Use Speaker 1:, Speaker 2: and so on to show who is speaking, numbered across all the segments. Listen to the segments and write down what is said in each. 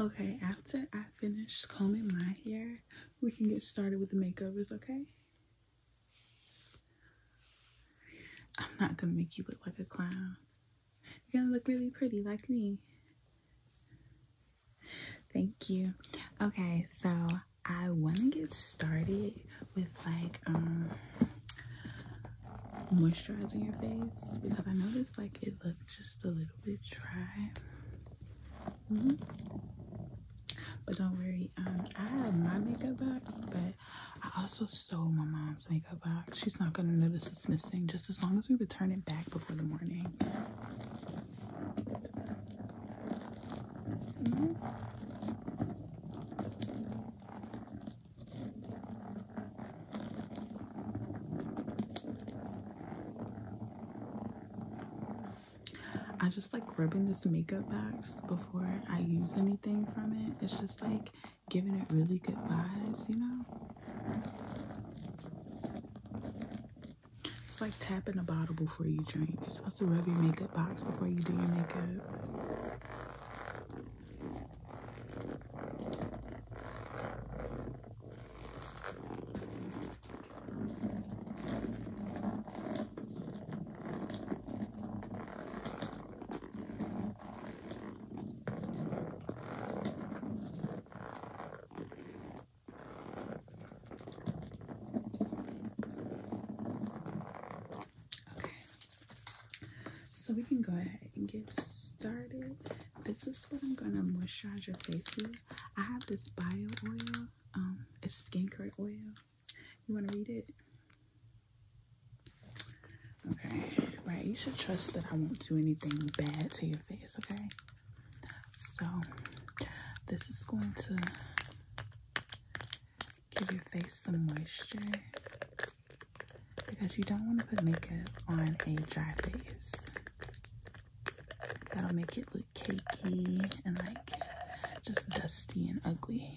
Speaker 1: Okay, after I finish combing my hair, we can get started with the makeovers, okay? I'm not gonna make you look like a clown. You're gonna look really pretty like me. Thank you. Okay, so I wanna get started with like um, moisturizing your face because I noticed like it looked just a little bit dry. Mm-hmm. But don't worry, um, I have my makeup box, but I also stole my mom's makeup box. She's not gonna notice it's missing, just as long as we return it back before the morning. Mm-hmm. I just like rubbing this makeup box before I use anything from it. It's just like giving it really good vibes, you know? It's like tapping a bottle before you drink. You're rub your makeup box before you do your makeup. Okay, so we can go ahead and get started. This is what I'm gonna moisturize your face with, I have this bio oil. Um, it's skin skincare oil. You wanna read it? Okay, right. You should trust that I won't do anything bad to your face. Okay. So this is going to give your face some moisture because you don't want to put makeup on a dry face. That'll make it look cakey and like just dusty and ugly.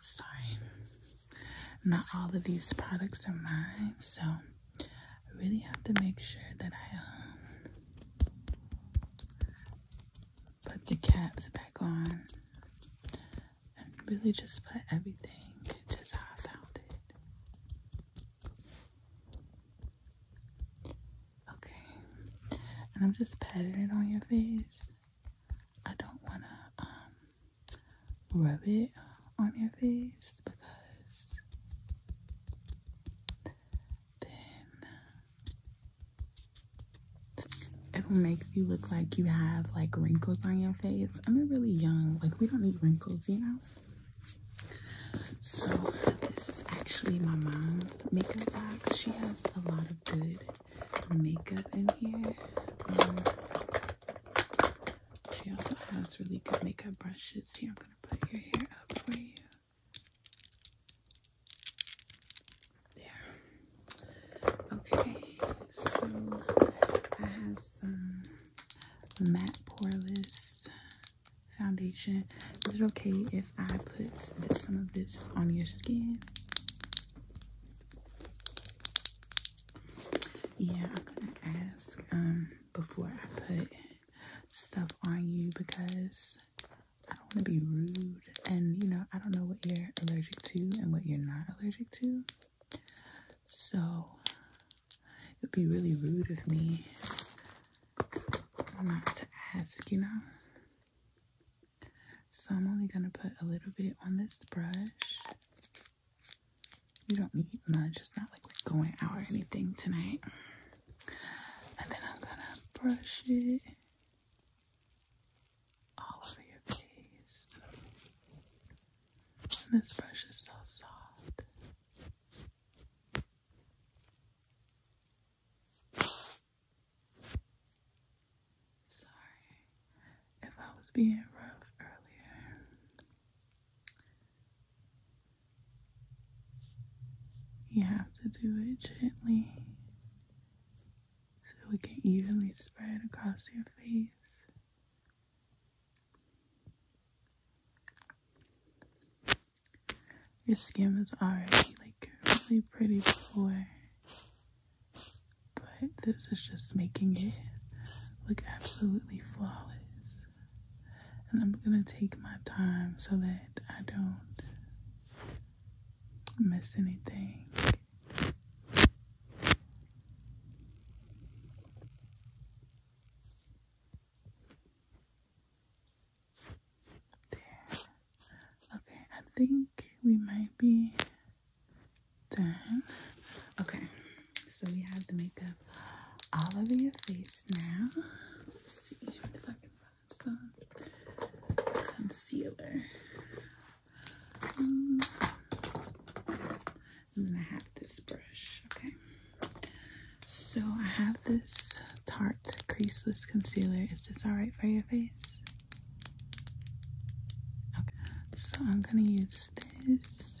Speaker 1: Sorry, not all of these products are mine, so I really have to make sure that I um, put the caps back on and really just put everything just how I found it. Okay, and I'm just patting it on your face. I don't want to um, rub it on your face because it'll make you look like you have like wrinkles on your face. I'm really young, like we don't need wrinkles, you know. So this is actually my mom's makeup box. She has a lot of good makeup in here. Um, she also has really good makeup brushes. Here, I'm gonna put your hair up for you. There. Okay, so I have some matte poreless foundation. Is it okay if I put some of this on your skin? Yeah, I'm gonna ask um before I put it stuff on you because I don't want to be rude. And you know, I don't know what you're allergic to and what you're not allergic to. So it would be really rude of me not to ask, you know? So I'm only going to put a little bit on this brush. You don't need much. It's not like we're going out or anything tonight. And then I'm gonna brush it all over your face. this brush is so soft. Sorry if I was being rough earlier. You have to do it gently so it can evenly spread across your face. Your skin was already like really pretty before, but this is just making it look absolutely flawless. And I'm going to take my time so that I don't miss anything. There. Okay, I think we might be done. Okay, so we have the makeup all over your face now. Let's see the concealer. I have this brush, okay? So I have this Tarte Creaseless Concealer. Is this alright for your face? Okay, so I'm gonna use this.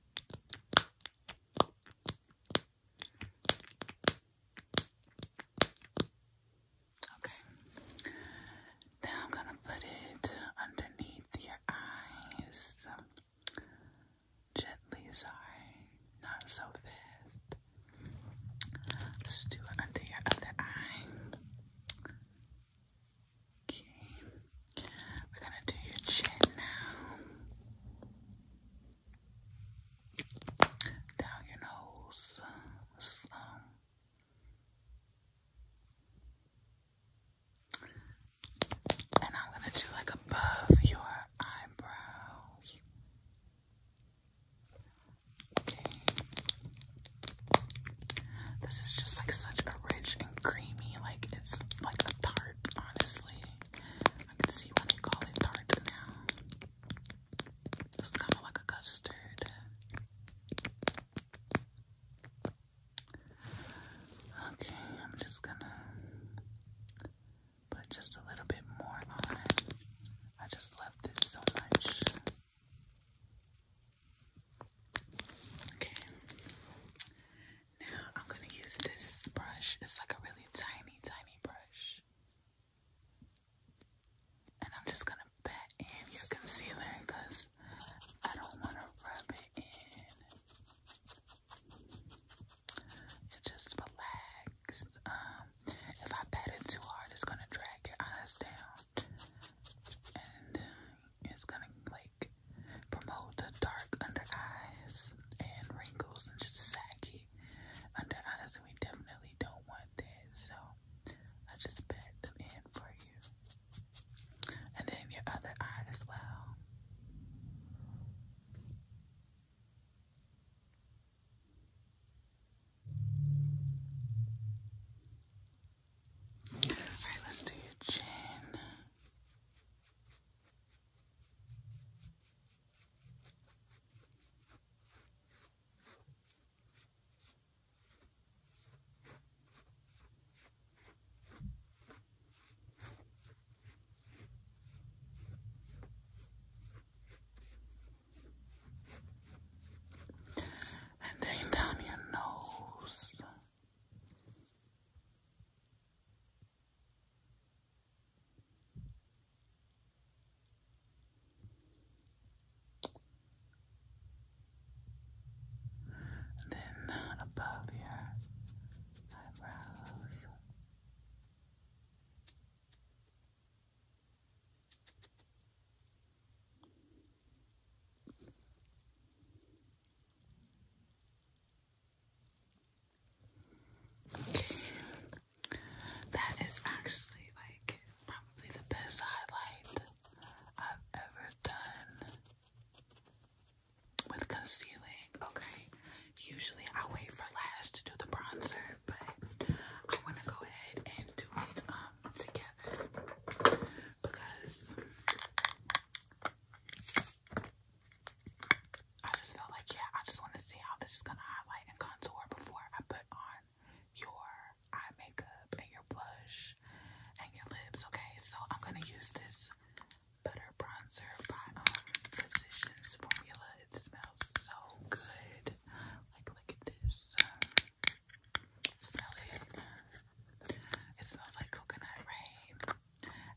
Speaker 1: Okay. Now I'm going to put it underneath your eyes. Gently, sorry. Not so fast. Let's do it under your other eye. Okay. We're gonna do your chin now. Down your nose. And I'm gonna do like above your eyebrows. Okay. This is just like such a rich and creamy, like it's like a tart honestly. I can see why they call it tart It's kind of like a custard. Okay, I'm just gonna put just a little bit more on I just love this so much. Okay, now I'm gonna use this brush. It's like a really tiny, tiny brush. And I'm just gonna pat in your concealer because I don't wanna rub it in. It just relax. Um, if I pat it too hard it's gonna drag your eyes down and um, it's gonna like promote the dark under eyes and wrinkles and just saggy under eyes, and we definitely don't want that. So I just put them in for you, and then your other eye as well. All right, let's do your chin. And then down your nose. And then above your eyebrows. That is actually like probably the best highlight I've ever done with concealing. Okay, usually I wait for last to do the bronzer, but I want to go ahead and do it um together because I just felt like, yeah, I just want to see how this is going to highlight and contour before I put on your eye makeup and your blush and your lips, okay? So I'm going to use this Butter Bronzer by um, Physicians Formula. It smells so good. Like, look at this. Smell it. It smells like coconut rain.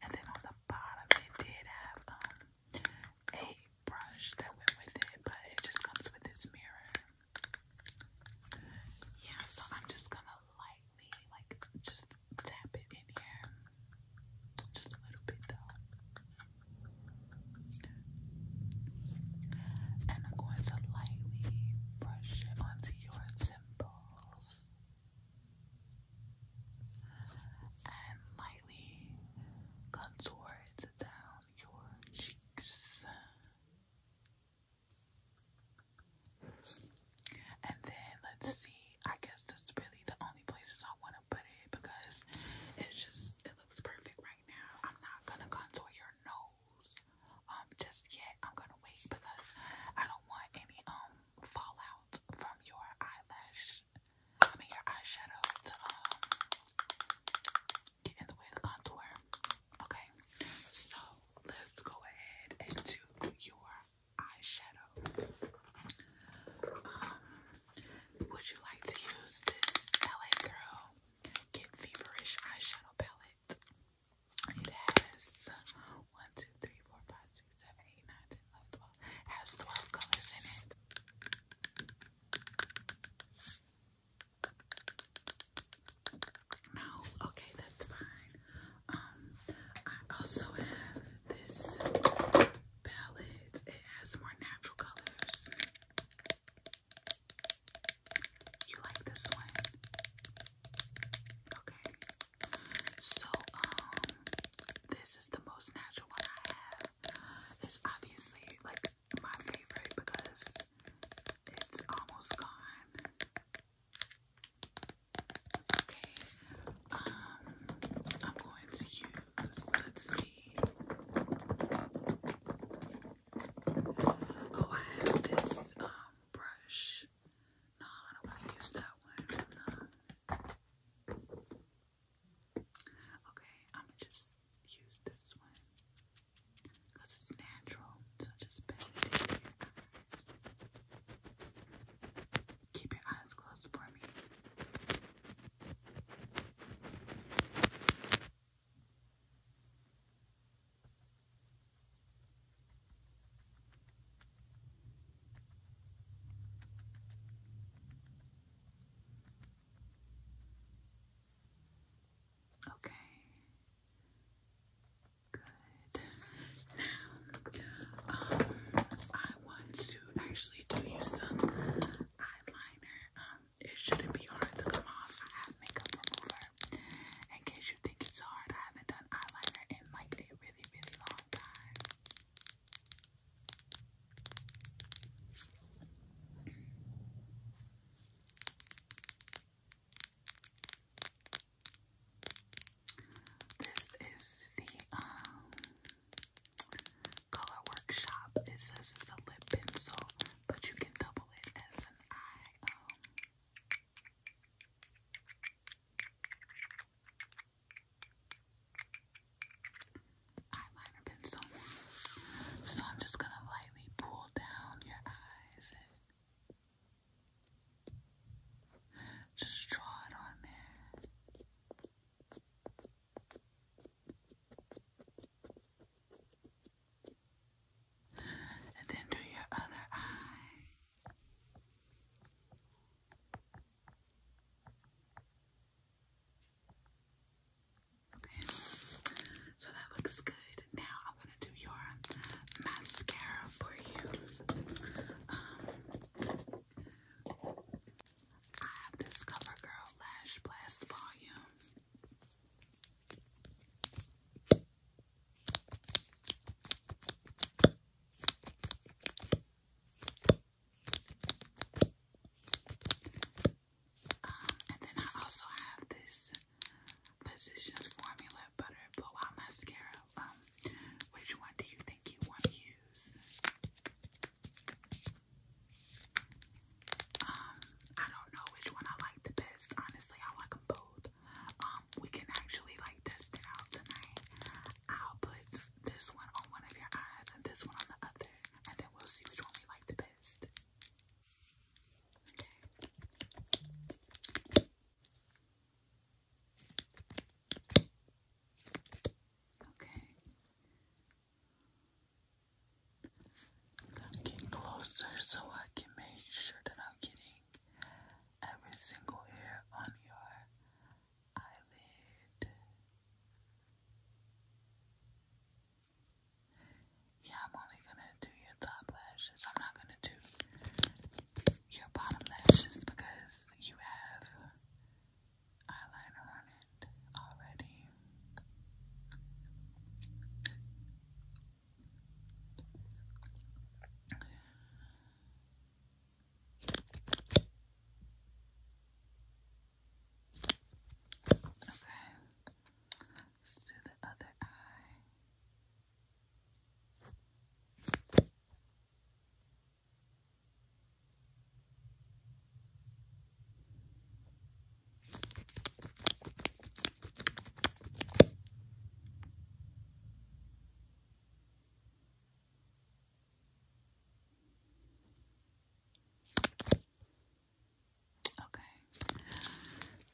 Speaker 1: And then on the bottom, it did have um, a brush that went with it, but it just comes with this mirror. Yeah, so I'm just gonna lightly, like, just tap it in here. Just a little bit, though. And I'm going to lightly brush it onto your temples and lightly contour it down your cheeks. And then let's see, I guess that's really the only places I want to put it because it's just, it looks perfect right now. I'm not going to contour your nose um, just yet. I'm going to wait because I don't want any um fallout from your eyelash, I mean your eyeshadow to um, get in the way of the contour. Okay, so let's go ahead and do your eyeshadow. Um, would you like to use this LA Girl Get Feverish eyeshadow palette? It has 1, 2, 3, 4, 5, 6, 7, 8, 9, 10, 11, has 12 colors in it. No, okay, that's fine. Um, I also have this palette. It has more natural colors. You like this one? Okay. So, um, this is the most natural one I have. It's obviously like my favorite because it's almost gone. Okay, um, I'm going to use, let's see. Oh, I have this, um, brush. No, I don't want to use that one. Okay, I'm just use this one because it's natural. So just pat Keep your eyes closed for me. Okay. Good. Now, um, I want to actually do you some eyeliner. Um, it shouldn't be hard to come off. I have makeup remover. In case you think it's hard, I haven't done eyeliner in like a really, really long time. This is the um color workshop. It says it's a lip pencil, but you can double it as an eye. Um, eyeliner pencil. So I'm just gonna lightly pull down your eyes just draw it on there. And then do your other eye. Okay, so that looks good. Now I'm gonna do your mascara for you. Um, I have this CoverGirl Lash Blast Volume. Um, and then I also have this Physicians Formula Butter Blow Mascara. Um, which one do you think you want to use? Um, I don't know which one I like the best. Honestly, I like them both. Um, we can actually like test it out tonight. I'll put this one on one of your eyes and this one on the other, and then we'll see which one we like the best. Okay. Okay. getting closer so I can make sure that I'm getting every single hair on your yeah, I'm only gonna do your top lashes. I'm not gonna do your bottom lashes because you have eyeliner on it already. Okay. Let's do the other eye. Okay.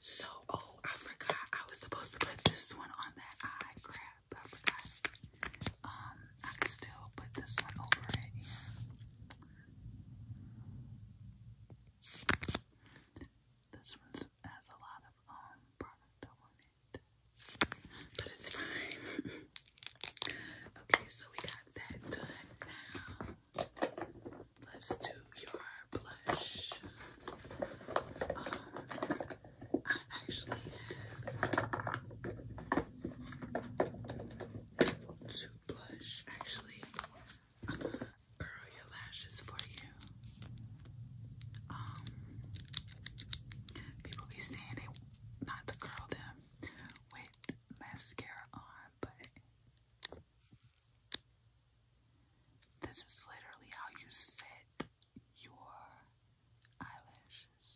Speaker 1: So, oh, I forgot. I was supposed to put this one on that eye crap. I forgot. Um, I could still put this one over it. This one has a lot of um product on it. But it's fine. okay, so we got that done now. Let's do your blush. Um, I actually have blush. Actually, curl your lashes for you. Um, people be saying they not to curl them, with mascara on, but this is literally how you set your eyelashes.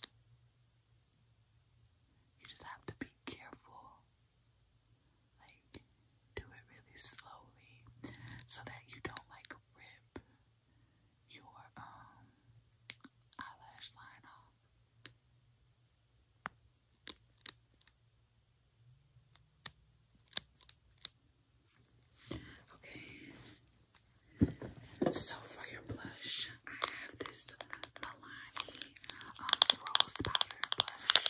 Speaker 1: You just have to be careful. Like, do it really slowly so that you don't like rip your um, eyelash line Okay. So for your blush, I have this Milani um, Rose Powder Blush.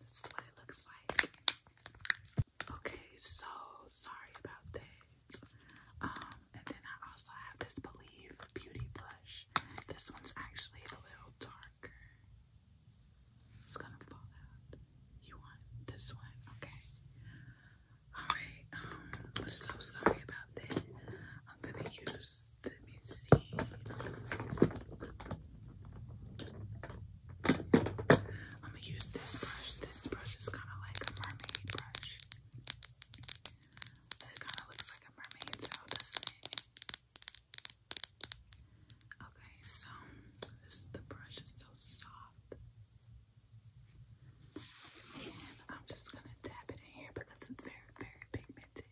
Speaker 1: This is what it looks like. Okay, so sorry about that. Um, and then I also have this Believe Beauty Blush. This one's actually a little darker. It's gonna fall out. You want this one? Okay. Alright, um, I'm so sorry about that. I'm gonna use, let me see. I'm gonna use this brush. This brush is kind of like a mermaid brush. It kind of looks like a mermaid tail, doesn't it? Okay, so the brush is so soft. And I'm just gonna dab it in here because it's very, very pigmented.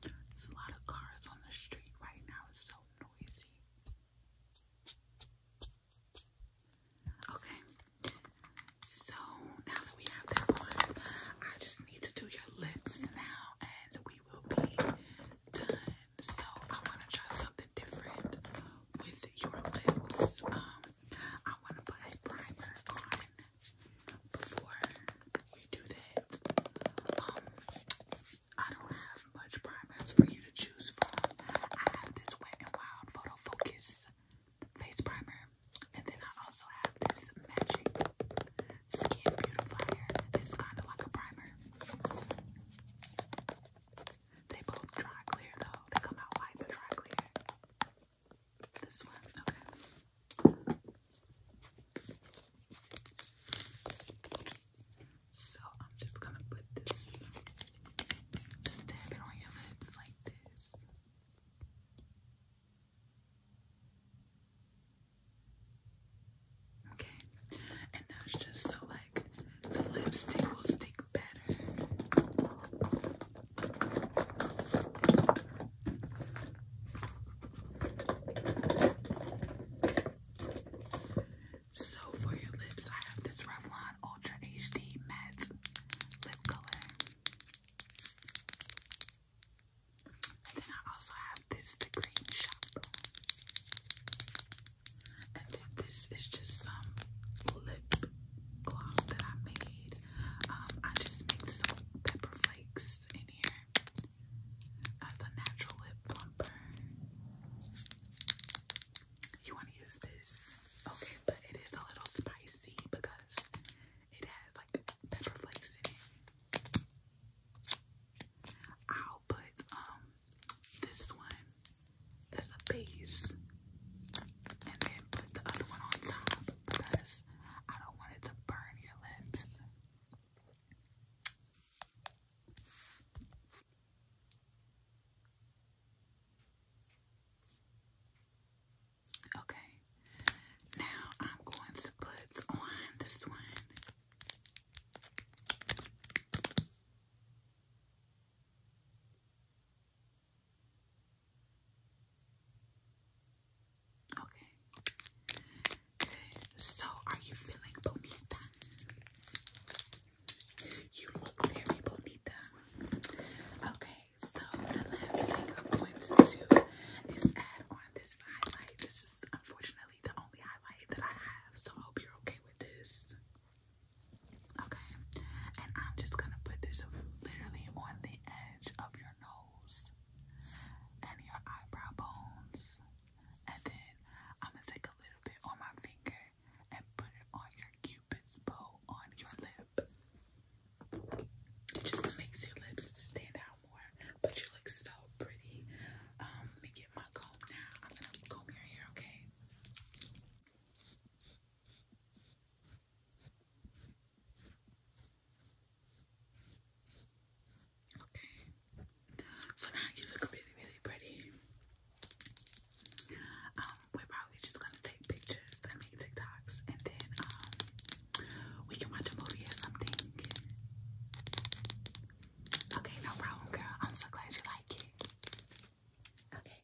Speaker 1: There's a lot of cars on the street right now. It's so noisy. Okay. So now that we have that one, I just need to do your lips now and we will be done. So I want to try something different with your lips. Um, I want to put a primer on before we do that. Um, I don't have much primers for you to choose from. I have this Wet n Wild Photo Focus face primer, and then I also have this Magic Skin Beautifier. It's kind of like a primer. They both dry clear though. They come out white but dry clear. This one, okay. So I'm just gonna put this, just dab it on your lids like this. Okay, and now it's just so the lipstick will stick better. So for your lips, I have this Revlon Ultra HD Matte Lip Color. And then I also have this The Green Shop. And then this is just some lip gloss that I made. Um, I just mixed some pepper flakes in here as a natural lip plumper. You want to use this? Okay, but it is a little spicy because it has like pepper flakes in it. I'll put um this one that's a base. And then put the other one on top because I don't want it to burn your lips. Okay, now I'm going to put on this one. Okay. So, are you feeling bonita? You look very bonita. Okay. So, the last thing I'm going to do is add on this highlight. This is unfortunately the only highlight that I have, so I hope you're okay with this. Okay, and I'm just gonna put this literally on the edge of your nose and your eyebrow bones, and then I'm gonna take a little bit on my finger and put it on your cupid's bow on your lip. It just makes your lips stand out more, but you look so pretty. Um, let me get my comb now. I'm gonna comb your hair, okay? Okay. So now you look really, really pretty. Um, we're probably just gonna take pictures and make TikToks and then um we can watch a movie or something. Okay, no problem, girl. I'm so glad you like it. Okay.